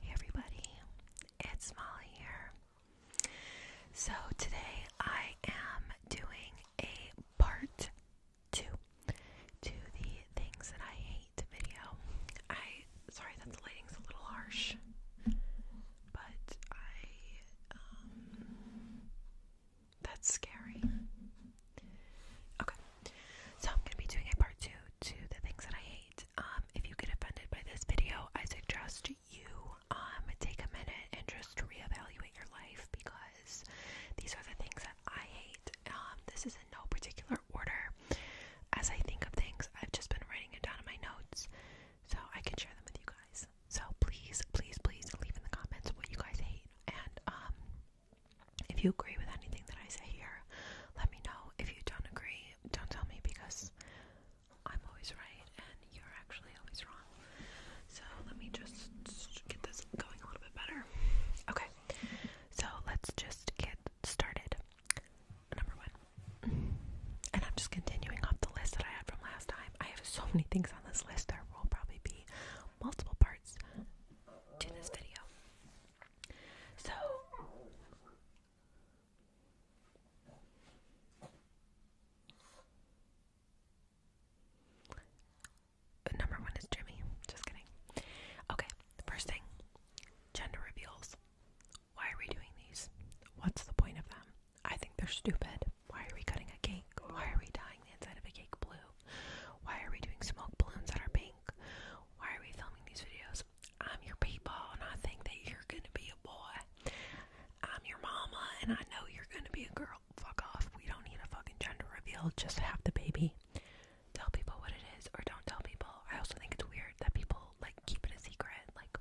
Hey everybody, it's Molly here. So today I am doing a part two to the things that I hate video. I sorry that the lighting's a little harsh, but I um, that's scary. Okay. So I'm gonna be doing a part two to the things that I hate um, if you get offended by this video, I suggest you um, take a minute and just reevaluate your life because these are the things that I hate. Um, this is in no particular order. As I think of things, I've just been writing it down in my notes so I can share them with you guys. So please, please, please leave in the comments what you guys hate and if you agree with anything that I say here, let me know. If you don't agree, don't tell me because I'm always right and you're actually always wrong. So let me just get this going a little bit better. Okay, so let's just get started. Number one, and I'm just continuing off the list that I had from last time. I have so many things on this list, there will probably be multiple parts to this video. So, uh, number one is Jimmy. Just kidding. Okay, first thing gender reveals. Why are we doing these? What's the point of them? I think they're stupid. Why are we cutting a cake? Why are we dyeing the inside of a cake blue? Why are we doing smoke balloons that are pink? Why are we filming these videos? I'm your people and I think that you're gonna be a boy. I'm your mama and I know you're gonna be a girl. Fuck off. We don't need a fucking gender reveal. Just have the baby. Tell people what it is or don't tell people. I also think it's weird that people like keep a secret. Like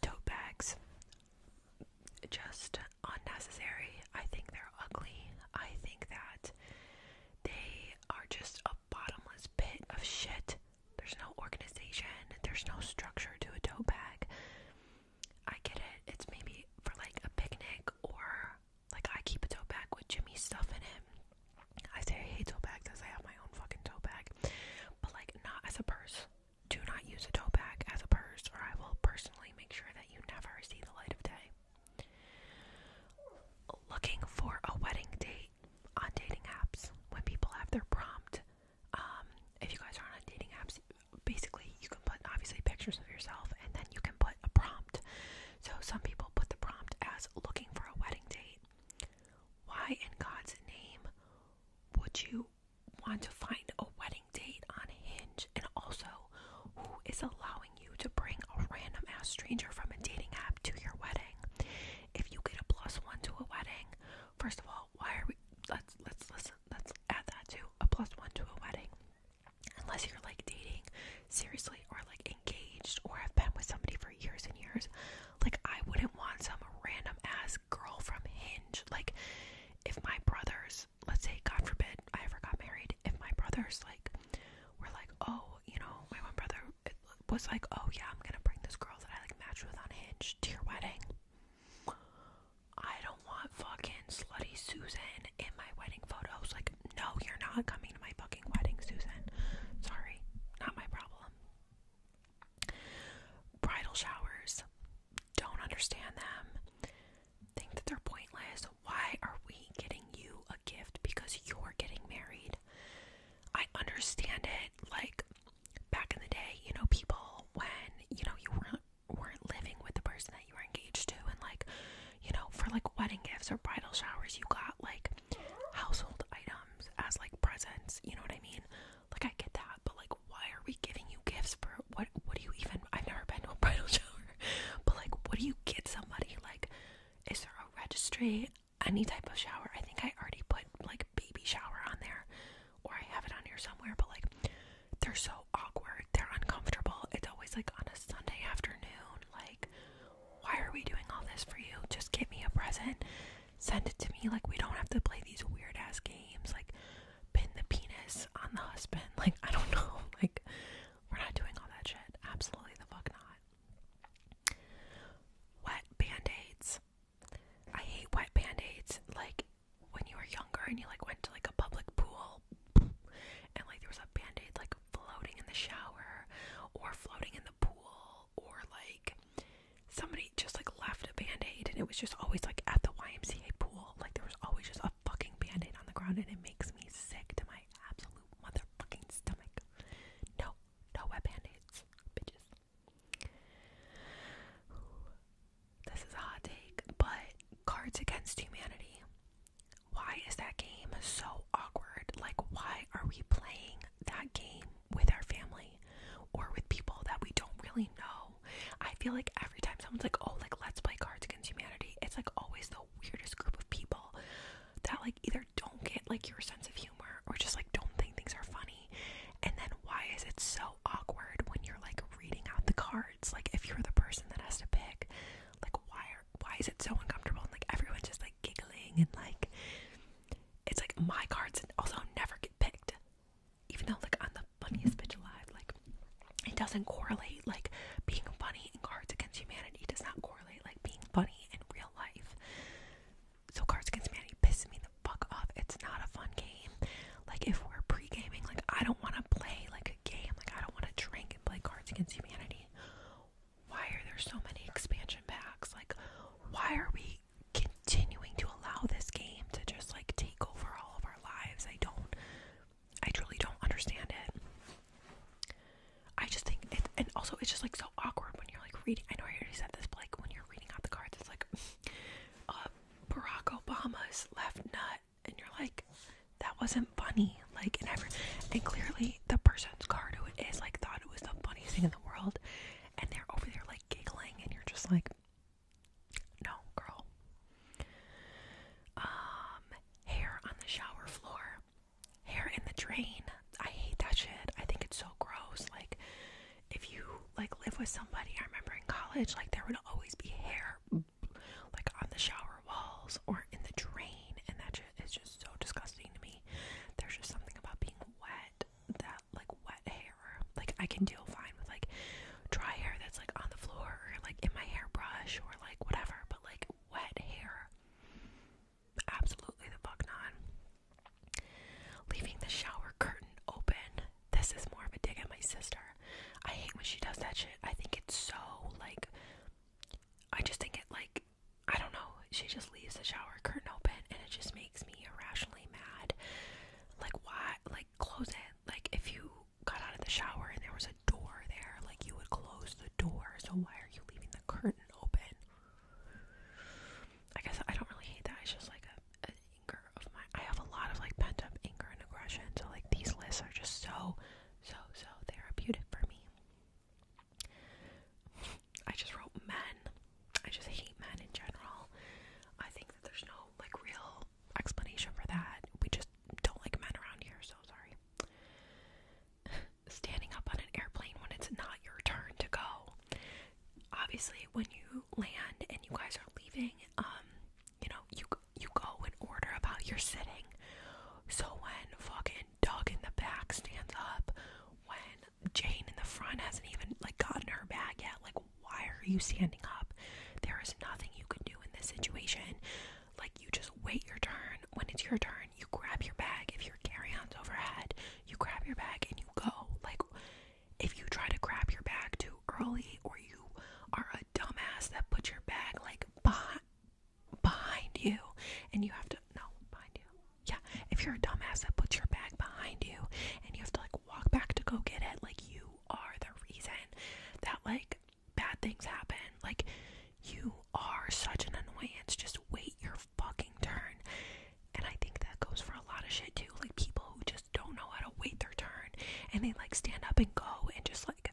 tote bags. Just unnecessary. I think they're ugly. I think that they are just a bottomless pit of shit. There's no organization, there's no structure to a tote bag. I get it, it's maybe for like a picnic or like I keep a tote bag with Jimmy's stuff in it. I say I hate tote bags because I have my own fucking tote bag, but like not as a purse. Do not use a tote bag as a purse, or I will personally make sure that you never see the light of day. Looking for a wedding date on dating apps when people have their prompt. Um, if you guys aren't on dating apps, basically you can put obviously pictures of yourself and then you can put a prompt. So some people put the prompt as looking for a wedding date. Why in God's name would you want to find a wedding date on Hinge? And also, who is allowing you to bring a random ass stranger from a dating app to your wedding. If you get a plus one to a wedding, first of all, why are we let's let's listen let's add that to a plus one to a wedding. Unless you're like dating seriously or like engaged or have been with somebody for years and years. Like I wouldn't want some random ass girl from Hinge. Like if my brothers let's say God forbid I ever got married, if my brothers like were like, Oh, you know, my one brother was like, "Oh yeah, I'm gonna bring this girl that I like matched with on Hinge to your wedding." I don't want fucking slutty Susan in my wedding photos. Like, no, you're not coming to my fucking wedding, Susan. Sorry, not my problem. Bridal showers, don't understand them. Think that they're pointless. Why are we getting you a gift because you're getting married? I understand it. Like back in the day, you know, people when you know you weren't weren't living with the person that you were engaged to, and like you know, for like wedding gifts or bridal showers, you got like household items as like presents. You know what I mean? Like I get that, but like, why are we giving you gifts for what? What do you even? I've never been to a bridal shower, but like, what do you get somebody? Like, is there a registry? any type of shower. I think I already put like baby shower on there, or I have it on here somewhere, but like they're so awkward, they're uncomfortable. It's always like on a Sunday afternoon. Like, why are we doing all this for you? Just give me a present, send it to me. Like, we don't have to play these weird ass games, like pin the penis on the husband. Like, I don't know. Like, we're not doing all that shit. Absolutely the fuck not. Wet band-aids. I hate wet band-aids. Like when you were younger and you like went to like a public pool and like there was a band-aid like floating in the shower or floating in the pool or like somebody just like left a band-aid and it was just always like at the YMCA pool. Like there was always just a fucking band-aid on the ground and it makes me sick to my absolute motherfucking stomach. No, no wet band-aids, bitches. This is a hot take, but Cards Against Humanity. Why is that game so awkward? Like, why are we playing that game with our family or with people that we don't really know? I feel like every time someone's like, oh, like, let's play Cards Against Humanity, it's like always the weirdest group of people that, like, either don't get like your sense of humor or just like don't think things are funny. And then why is it so awkward when you're like reading out the cards? Like if you're the person that has to pick, like why are why is it so uncomfortable and like everyone's just like giggling and like it's like my cards also never get picked. Even though like I'm the funniest bitch alive, like it doesn't correlate like being funny in Cards Against Humanity does not correlate like being funny in real life. So Cards Against Humanity pisses me the fuck off. It's not a fun game. Like if we're pre-gaming, like I don't want to play like a game. Like I don't want to drink and play Cards Against Humanity. Why are there so many expansion packs? Like why are we continuing to allow this game to just like take over all of our lives? I don't I truly don't understand it. I just think it, and also it's just like so awkward when you're like reading. I know I already said this, like when you're reading out the cards, it's like, uh, Barack Obama's left nut, and you're like, that wasn't funny. Like, and every, and clearly the person's card who it is like thought it was the funniest thing in the world, and they're over there like giggling, and you're just like, no, girl. Um, hair on the shower floor hair in the drain. I hate that shit. I think it's so gross. Like if you like live with somebody, I remember in college, like there would always be hair like on the shower walls or in the drain, and that shit is just so disgusting to me. There's just something about being wet that like wet hair. Like I can deal fine with like dry hair that's like on the floor or like in my hairbrush or like whatever, but like wet hair Absolutely the fuck not. Leaving the shower curtain open. This is more of a dig at my sister. I hate when she does that shit. I think it's so like I just think it like I don't know. She just leaves the shower curtain open and it just makes me irrationally mad. Like why like close it. Like if you got out of the shower and there was a door there, like you would close the door. So why are you leaving the curtain open? I guess I don't really hate that. It's just like an anger of mine. I have a lot of like pent up anger and aggression. So like these lists are just so, so, so therapeutic for me. I just wrote men. I just hate men in general. I think that there's no like real explanation for that. We just don't like men around here. So sorry standing up on an airplane when it's not your turn to go. Obviously, when you land and you guys are leaving, um, you know, you you go in order about your sitting. So when fucking Doug in the back stands up, when Jane in the front hasn't even like gotten her bag yet, like why are you standing up? There is nothing you can do in this situation. Like you just wait your turn. When it's your turn, you grab your bag. If your carry-on's overhead, you grab your bag and you go. Like, if you try to grab your bag too early, or you are a dumbass that puts your bag like behind, behind you, and you have to no behind you. Yeah, if you're a dumbass that puts your bag behind you, and you have to like walk back to go get it, like you are the reason that like bad things happen. Like, you are such an annoyance. Just wait your fucking turn. And I think that goes for a lot of shit too. Like people who just don't know how to wait their turn and they like stand up and go and just like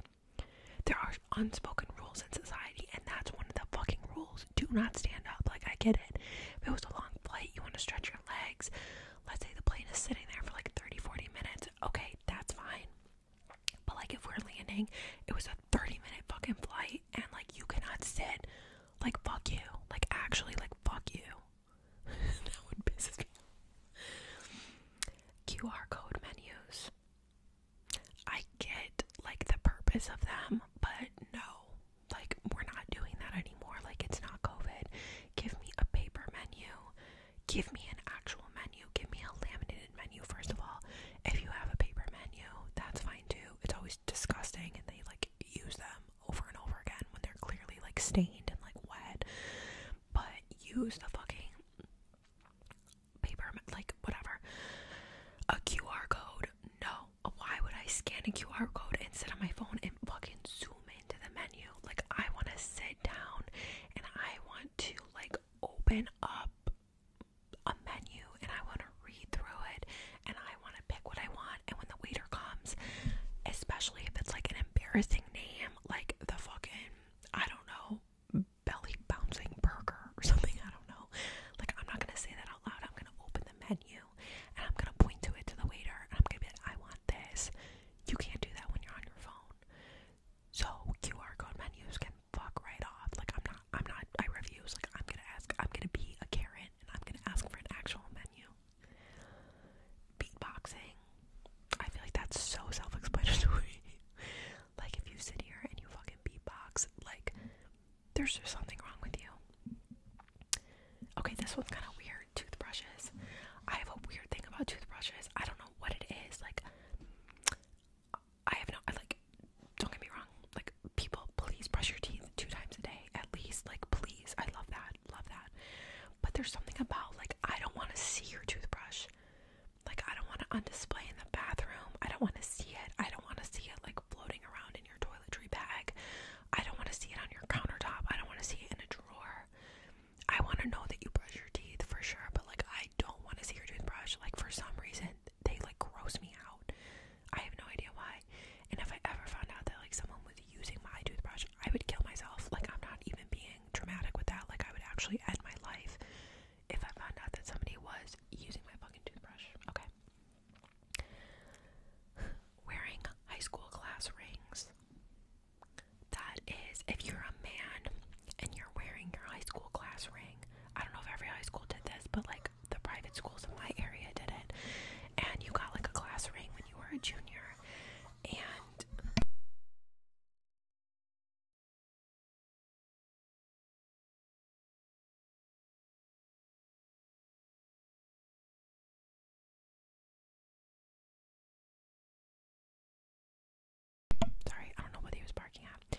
there are unspoken rules in society and that's one of the fucking rules. Do not stand up. Like I get it. If it was a long flight, you want to stretch your legs. Let's say the plane is sitting there for like 30, 40 minutes. Okay, that's fine. But like if we're landing, it was a 30 minute fucking flight and like you cannot sit like, fuck you. Like, actually, like, fuck you. that would piss me off. QR code menus. I get, like, the purpose of them, but no. Like, we're not doing that anymore. Like, it's not COVID. Give me a paper menu. Give me an actual menu. Give me a laminated menu, first of all. If you have a paper menu, that's fine too. It's always disgusting, and they like use them over and over again when they're clearly like stained and like wet. But use the fucking paper, like whatever, a QR code. No, why would I scan a QR code instead of my phone and fucking zoom into the menu? Like, I want to sit down and I want to like open up a menu and I want to read through it and I want to pick what I want. And when the waiter comes, especially if it's like an embarrassing name, like the fucking, I don't know, belly bouncing burger or something, I don't know. Like, I'm not going to say that out loud. I'm going to open the menu and I'm going to point to it to the waiter I'm going to be like, I want this. You can't do that when you're on your phone. So QR code menus can fuck right off. Like I'm not, I'm not. I refuse. Like I'm gonna ask. I'm gonna be a Karen I'm gonna ask for an actual menu. Beatboxing. I feel like that's so self explanatory. like, if you sit here and you fucking beatbox, like, there's just something wrong with you. Okay, this one's kind of weird. Toothbrushes. I have a weird thing about toothbrushes. I don't know what it is. Like, I have no, I like, don't get me wrong, like people, please brush your teeth two times a day at least. Like, please, I love that, love that. But there's something about like I don't want to see your toothbrush. Like, I don't want to on display in the bathroom. I don't want to see it. I don't want to see it like floating around in your toiletry bag. I don't want to see it on your countertop. I don't want to see it in a drawer. I want to know that you brush your teeth for sure, but like I don't want to see your toothbrush. Like for some reason, they like gross me out. I have no idea why. And if I ever found out that like someone was using my toothbrush, I would kill myself. Like I'm not even being dramatic with that. Like I would actually end my life if I found out that somebody was using my fucking toothbrush. Okay. Wearing high school class rings. That is if you're a man and you're wearing your high school class ring. I don't know if every high school did this, but like the private schools in my area did it. And you got like a class ring when you were a junior. And Sorry, I don't know what he was barking at.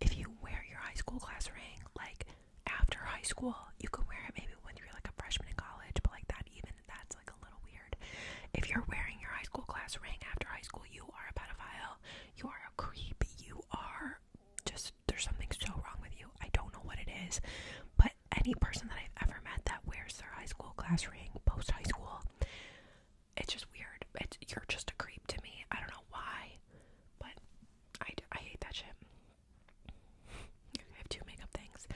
If you wear your high school class ring, like after high school. You can wear it maybe when you're like a freshman in college, but like that, even that's like a little weird. If you're wearing your high school class ring after high school, you are a pedophile, you are a creep, you are just there's something so wrong with you. I don't know what it is, but any person that I've ever met that wears their high school class ring post high school, it's just weird. It's, you're just a creep to me. I don't know why, but I, I hate that shit. I have two makeup things.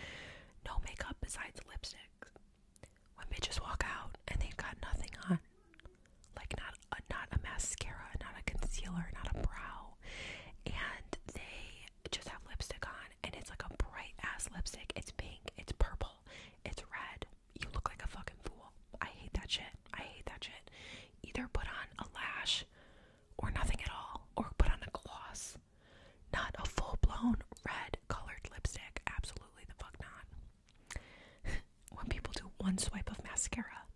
No makeup besides lipsticks. When bitches walk out and they've got nothing on, like not a, not a mascara, not a concealer, not a brow, and they just have lipstick on, and it's like a bright ass lipstick. It's pink, it's purple, it's red. You look like a fucking fool. I hate that shit. I hate that shit. Either put on a lash or nothing at all, or put on a gloss. Not a full blown red colored lipstick. Absolutely the fuck not. when people do one swipe of mascara,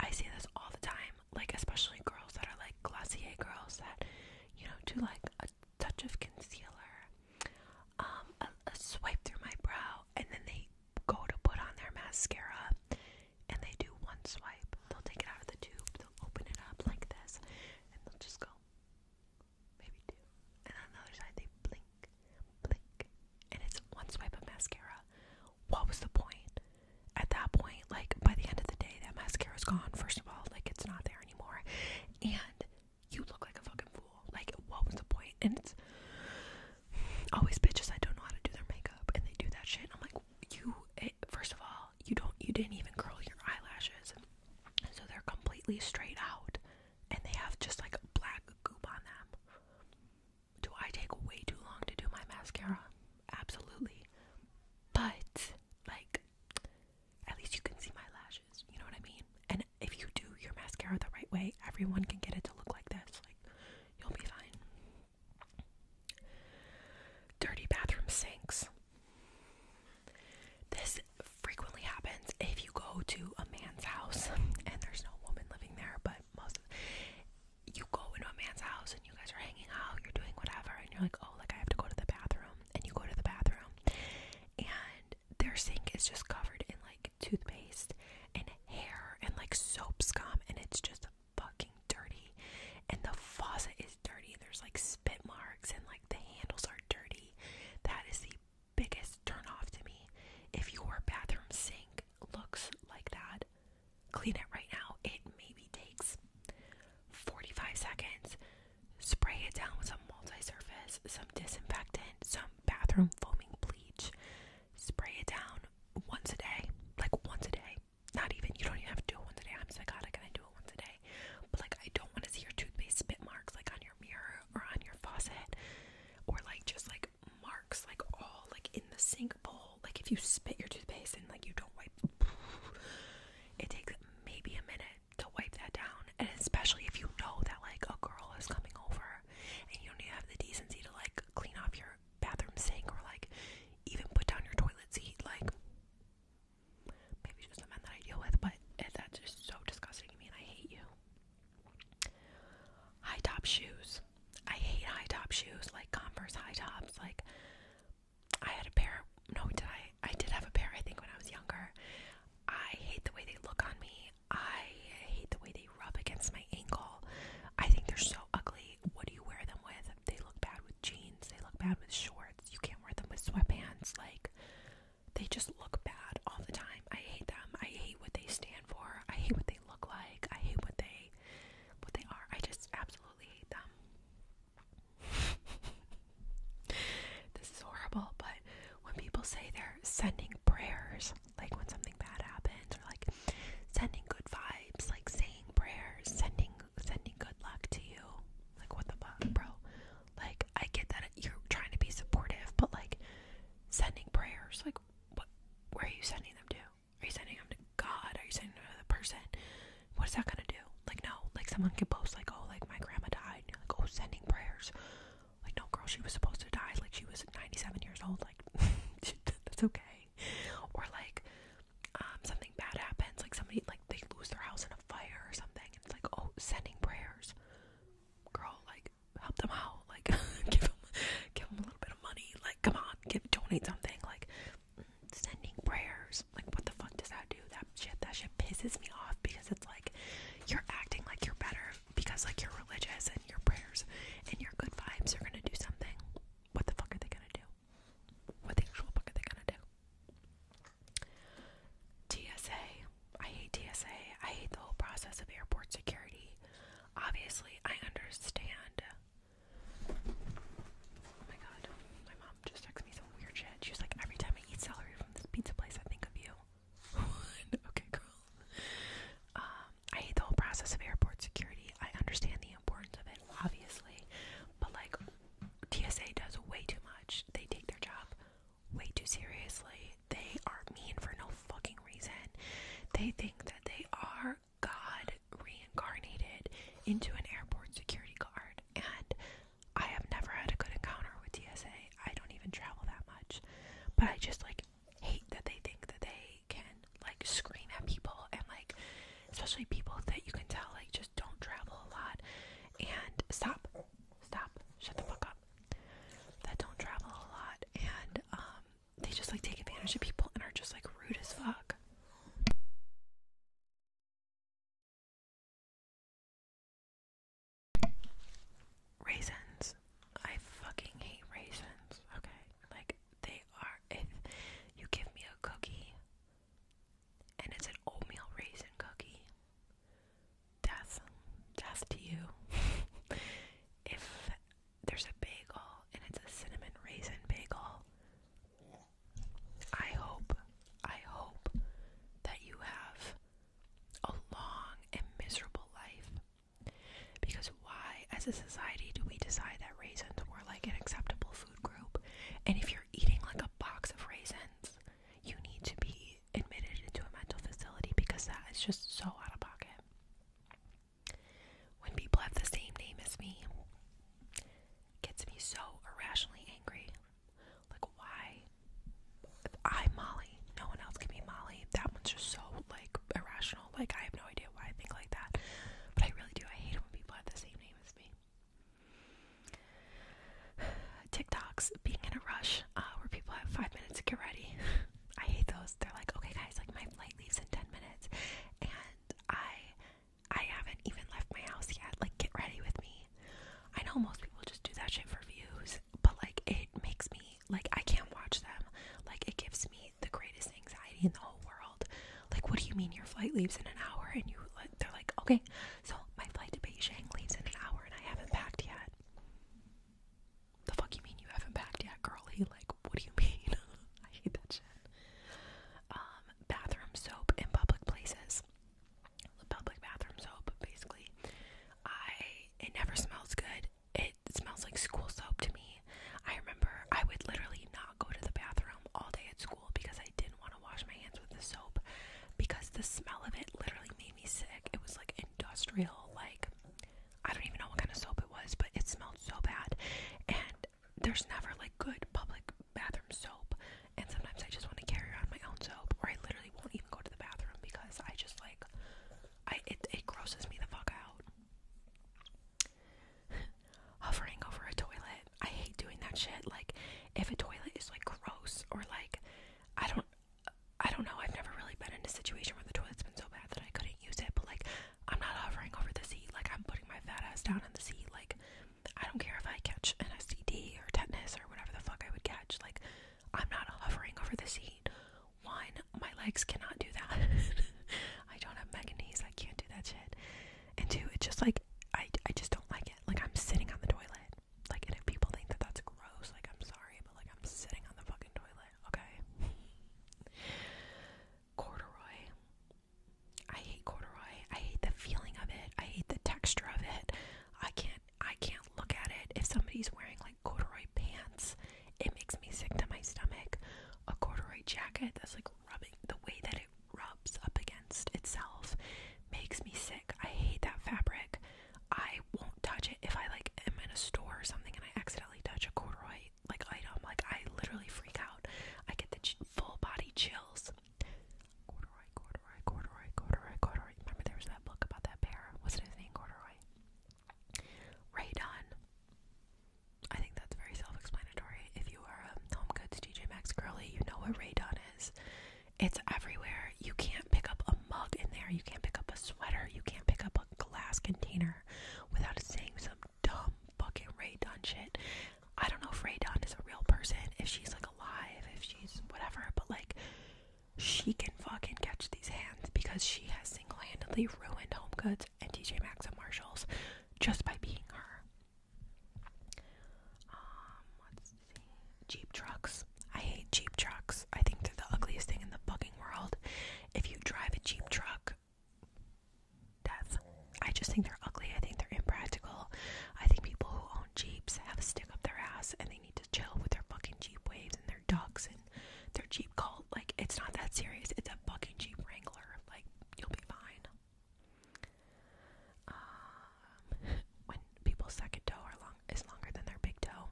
I see this all the time. Like, especially girls that are like Glossier girls that, you know, do like a touch of concealer, um, a swipe through my brow, and then they go to put on their mascara and they do one swipe. They'll take it out of the tube, they'll open it up like this, and they'll just go maybe two. And on the other side, they blink, blink, and it's one swipe of mascara. What was the point? At that point, like by the end of the day, that mascara is gone. First of all, like it's not there anymore, and you look like a fucking fool. Like, what was the point? And it's always bitches I don't know how to do their makeup, and they do that shit. I'm like, you eh, first of all, you don't you didn't even curl your eyelashes. So they're completely straight out and they have just like a black goop on them. Do I take way too long to do my mascara? Absolutely. But like at least you can see my lashes, you know what I mean? And if you do your mascara the right way, everyone can get it to look like this. Like you'll be fine. Dirty bathroom sinks. This frequently happens if you go to a man's house and there's no woman living there, but most of you go into a man's house and you guys are hanging out, you're doing whatever, and you're like, oh, like I have to go to the bathroom, and you go to the bathroom, and their sink is just covered in like toothpaste and hair and like soap scum, and it's just fucking dirty and the faucet is dirty. There's like spit marks and like the handles are dirty. That is the biggest turn off to me. If your bathroom sink looks like that, clean it right now. It maybe takes 45 seconds. Spray it down with some multi surface, some disinfectant, some bathroom foaming bleach. Spray it down once a day, like once a day. Not even, you don't even have to do it once a day. I'm psychotic and I do it once a day. But like, I don't want to see your toothpaste spit marks like on your mirror or on your faucet or like just like marks like all like in the sink bowl. Like, if you spit your toothpaste and like you don't wipe, it takes maybe a minute to wipe that down. And especially if you know that like a girl is coming over and you don't even have the decency to like clean off your bathroom sink or like even put down your toilet seat. Like, maybe just the men that I deal with, but eh, that's just so disgusting to me I hate you. High top shoes. I hate high top shoes, like Converse high tops. Like, I had a pair. No, did I? I did have a pair, I think, when I was younger. I hate the way they look on me. I hate the way they rub against my ankle. I think they're so ugly what do you wear them with? They look bad with jeans, they look bad with shorts, you can't wear them with sweatpants, like they just look bad all the time. I hate them. I hate what they stand for. I hate what they look like. I hate what they what they are. I just absolutely hate them. this is horrible, but when people say they're sending prayers, like when something bad happens, or like sending good vibes, like saying prayers, sending sending good luck to you. Like, what the fuck, bro? Like, I get that you're trying to be supportive, but like, sending prayers, like, what? Where are you sending them to? Are you sending them to God? Are you sending them to the person? What is that gonna do? Like, no. Like, someone can post like, oh, like my grandma died. And you're like, oh, sending prayers. Like, no, girl, she was supposed to die. Like, she was 97 years old. Like, that's okay something or like um, something bad happens like somebody like they lose their house in a fire or something and it's like oh sending prayers girl like help them out like give them give them a little bit of money like come on give donate something like sending prayers like what the fuck does that do that shit that shit pisses me off because it's like you're acting like you're better because like you're religious and your prayers and your good vibes are gonna do something what the fuck are they gonna do what the actual book are they gonna do? TSA. I hate TSA. I hate the whole process of airport security. Obviously, I understand. Oh my god. My mom just texted me some weird shit. She was like, every time I eat celery from this pizza place, I think of you. okay, girl. Um, I hate the whole process of airport security. I understand the importance of it, obviously, but like TSA does way too much. They take their job way too seriously. They are mean for no fucking reason. They think that they are God reincarnated into an airport security guard, and I have never had a good encounter with TSA. I don't even travel that much, but I just like hate that they think that they can like scream at people and like especially people that you can tell like just don't travel a lot and stop, stop, shut the fuck up. That don't travel a lot and um they just like take advantage of people and are just like rude as fuck. Raisins. I fucking hate raisins. Okay. Like they are if you give me a cookie and it's an oatmeal raisin cookie. Death, death to you. if there's a bagel and it's a cinnamon raisin bagel, I hope, I hope that you have a long and miserable life. Because why, as a society, do we decide that raisins were like an acceptable group. And if you're eating like a box of raisins, you need to be admitted into a mental facility because that is just so out of pocket. When people have the same name as me, gets me so irrationally angry. Like, why? I'm Molly. No one else can be Molly. That one's just so like irrational. Like, I have no idea why I think like that. But I really do. I hate it when people have the same name as me. TikToks being in a rush uh, where people have five minutes to get ready. I hate those. They're like, okay, guys, like my flight leaves in ten minutes, and I, I haven't even left my house yet. Like, get ready with me. I know most people just do that shit for views, but like, it makes me like I can't watch them. Like, it gives me the greatest anxiety in the whole world. Like, what do you mean your flight leaves in an hour? And you, they're like, okay, so my flight to Beijing leaves in an hour, and I haven't packed yet. The fuck you mean you haven't packed yet, girlie? Like, what do you mean? I hate that shit. Um, bathroom soap in public places. The public bathroom soap, basically. I it never smells good. It smells like school soap to me. I remember I would literally not go to the bathroom all day at school because I did not didn't want to wash my hands with the soap because the smell of it literally made me sick. It was like industrial, like I don't even know what kind of soap it was, but it smelled so bad. And there's never like good public bathroom soap. And sometimes I just want to carry around my own soap, or I literally won't even go to the bathroom because I just like I it, it grosses me the fuck out hovering over a toilet. I hate doing that shit. Like if a toilet is like gross or like I don't I don't know. I've never really been in a situation where the toilet's been so bad that I couldn't use it, but like I'm not hovering over the seat. Like I'm putting my fat ass down on the seat. Like I don't care if I catch an STD or tetanus or whatever the fuck I would catch. Like I'm not hovering over the seat. One, my legs cannot do that. I don't have megan knees. I can't do that shit and two, it's just like I, I just don't like it. Like I'm sitting on the toilet. Like and if people think that that's gross, like I'm sorry, but like I'm sitting on the fucking toilet. Okay. corduroy. I hate corduroy. I hate the feeling of it. I hate the texture of it. I can't I can't look at it. If somebody's wearing like corduroy pants, it makes me sick to my stomach. A corduroy jacket that's like rubbing the way that it rubs up against itself makes me sick. I hate that fabric. I won't touch it if I like am in a store or something and I accidentally touch a corduroy like item. Like I literally freak out. I get the full body chills. Corduroy, corduroy, corduroy, corduroy, corduroy. Remember there was that book about that bear? What's his name? Corduroy. Ray I think that's very self-explanatory. If you are a Home Goods TJ Maxx girly, you know what Raydon is. It's everywhere. You can't pick up a mug in there. You can't pick up a sweater. You can't pick up a glass container without saying some dumb fucking Raydon shit. I don't know if Raydon is a real person, if she's like alive, if she's whatever, but like she can fucking catch these hands because she has single-handedly ruined Home Goods and TJ Maxx and Marshalls just by being her. Um, Jeep trucks. I hate Jeep trucks. I think they're the ugliest thing in the fucking world. If you drive a Jeep truck, death. I just think they're ugly. I think they're impractical. I think people who own Jeeps have a stick up their ass and they need to chill with their fucking Jeep waves and their dogs and their Jeep cult. Like, it's not that serious. It's a fucking Jeep Wrangler. Like, you'll be fine. Um, when people's second toe is longer than their big toe.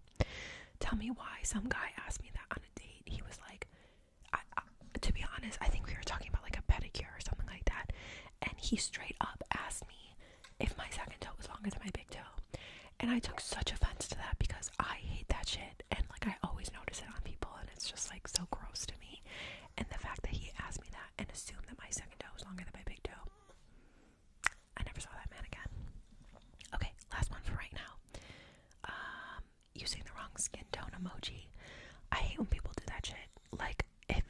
Tell me why some guy asked me that on a date. He was like, to be honest, I think we were talking about like a pedicure or something like that, and he straight up asked me if my second toe was longer than my big toe, and I took such offense to that because I hate that shit, and like I always notice it on people, and it's just like so gross to me, and the fact that he asked me that and assumed that my second toe was longer than my big toe. I never saw that man again. Okay, last one for right now. Um, using the wrong skin tone emoji. I hate when people do that shit. Like if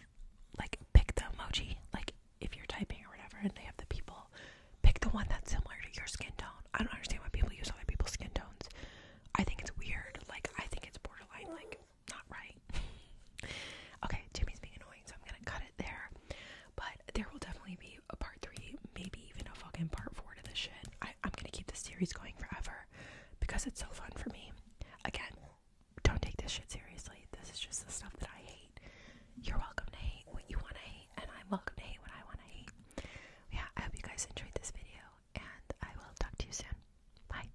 like pick the emoji, like if you're typing or whatever and they have the people, pick the one that's similar to your skin tone. I don't understand why people use other people's skin tones. I think it's weird. Like I think it's borderline like not right. okay, Jimmy's being annoying, so I'm gonna cut it there. But there will definitely be a part three, maybe even a fucking part four to this shit. I, am gonna keep this series going forever because it's so fun for me. Again, don't take this shit seriously. This is just the stuff that I hate. You're welcome to hate what you wanna hate, and I'm welcome to hate what I wanna hate. Yeah, I hope you guys enjoyed this video, and I will talk to you soon. Bye.